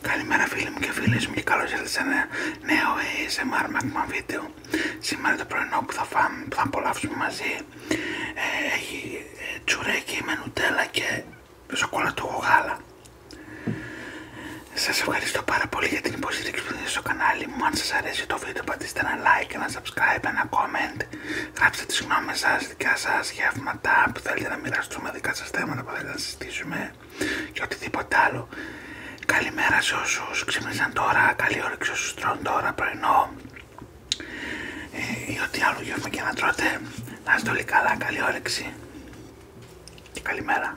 Καλημέρα φίλοι μου και φίλες μου και καλώς ήρθατε σε ένα νέο ASMR Magma βίντεο. Σήμερα το πρωινό που θα, θα απολαύσουμε μαζί ε, έχει ε, τσουρέκι με νουτέλα και σοκολατούχο γάλα. Σας ευχαριστώ πάρα πολύ για την υποστήριξη που δίνετε στο κανάλι μου. Αν σας αρέσει το βίντεο πατήστε ένα like, ένα subscribe, ένα comment. Γράψτε τις γνώμες σας δικά σα γεύματα που θέλετε να μοιραστούμε, δικά σα θέματα που θέλετε να συζητήσουμε και οτιδήποτε άλλο. Καλημέρα σε όσου ξύπνησαν τώρα, καλή όρεξη όσου τρώνε τώρα πρωινό ε, ή ό,τι άλλο γεύμα και να τρώτε. Να είστε όλοι καλά, καλή όρεξη και καλημέρα.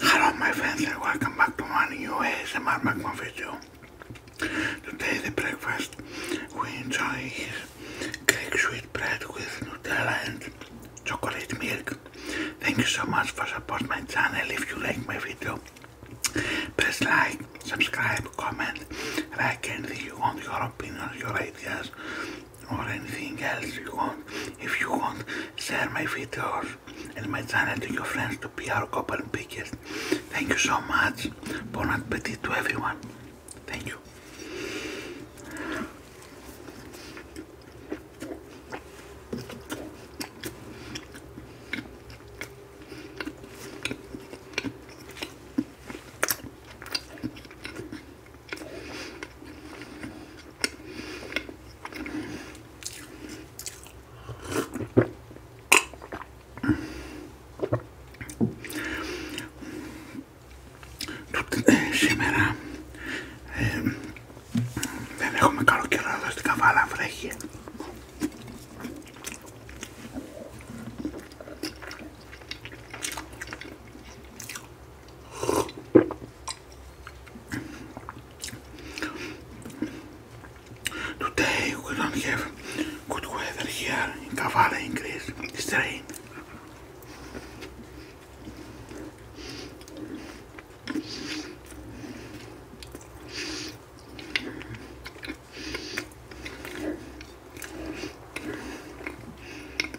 Hello my friends and welcome back to my new ASMR Magma video. Today the breakfast we enjoy is Greek sweet bread with Nutella and chocolate milk. Thank you so much for supporting my channel. If you like my video, press like, subscribe, comment, I can anything you want, your opinion, your ideas or anything else you want. If you want, share my videos and my channel to your friends to be our couple pickers. Thank you so much. Bon appetit to everyone. Thank you. Σήμερα ε, δεν έχουμε καλό καιρό στη στην Καβάλα, βρέχει. Today we don't have good weather here in Kavala in Greece. It's raining.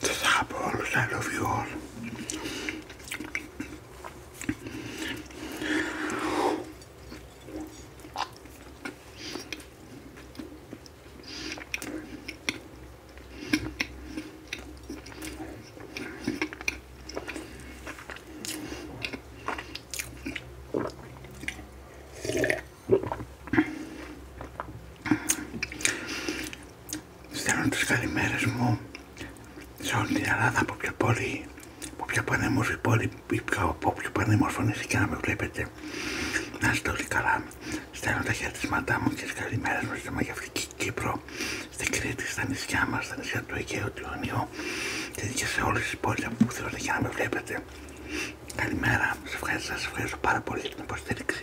to stop all you all. στέλνω τις καλημέρες μου σε όλη την Ελλάδα από ποια πόλη, από ποια πανέμορφη πόλη ή από ποιο πανέμορφο νησί και να με βλέπετε. Να είστε όλοι καλά. Στέλνω τα χαιρετισμάτά μου και τις καλημέρες μου στη Μαγευτική Κύπρο, στην Κρήτη, στα νησιά μας, στα νησιά του Αιγαίου, του Ιωνίου και σε όλες τις πόλεις από που θέλω και να με βλέπετε. Καλημέρα. Σας ευχαριστώ, σας ευχαριστώ πάρα πολύ για την υποστήριξη.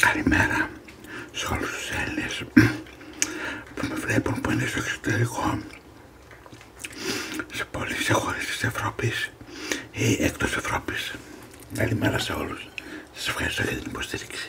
Καλημέρα σε όλους τους Έλληνες που με βλέπουν που είναι στο εξωτερικό σε σε χώρες της Ευρώπης ή εκτός Ευρώπης. Καλημέρα σε όλους. Σας ευχαριστώ για την υποστήριξη.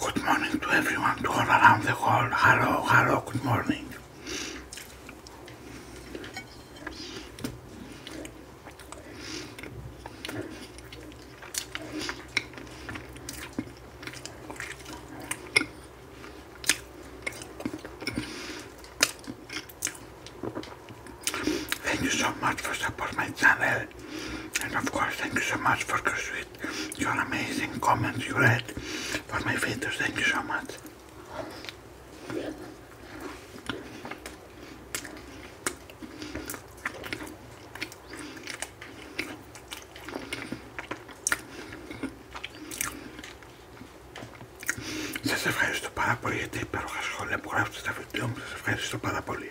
Good morning to everyone, to all around the world. Hello, hello, good morning. Thank you so much for support my channel and of course thank you so much for your watched, your amazing comments you read for my videos. Thank you so much. Σας ευχαριστώ πάρα πολύ για τα υπέροχα σχόλια που γράψετε στα βίντεο μου. Σας ευχαριστώ πάρα πολύ.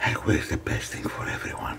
I wish the best thing for everyone.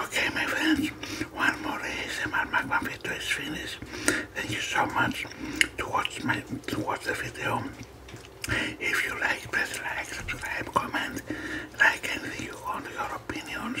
Okay, my friends, one more ASMR Magma video is finished. Thank you so much to watch, my, to watch the video. If you like, please like, subscribe, comment, I can think you on your opinions.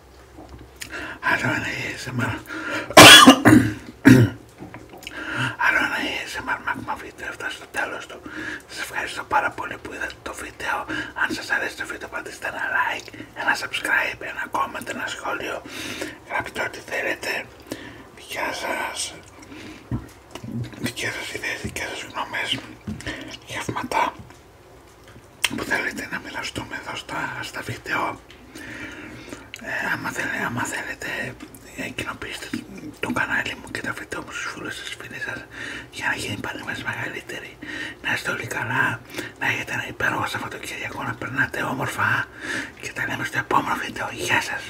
Άρα don't want to hear στο τέλος του. Σας ευχαριστώ πάρα πολύ που είδατε το βίντεο. Αν σας αρέσει το βίντεο πατήστε ένα like, ένα subscribe, ένα comment, ένα σχόλιο. Γράψτε ό,τι θέλετε. Δικιά σας. Δικιά ιδέες, δικιά σας γνώμες. Γεύματα που θέλετε να μοιραστούμε εδώ στα, βίντεο ε, άμα, θέλετε, άμα ε, θέλετε το κανάλι μου και τα βίντεο μου στους φίλους σας φίλες για να γίνει πάλι μας μεγαλύτερη να είστε όλοι καλά να έχετε ένα υπέροχο Σαββατοκυριακό να περνάτε όμορφα και τα λέμε στο επόμενο βίντεο Γεια σας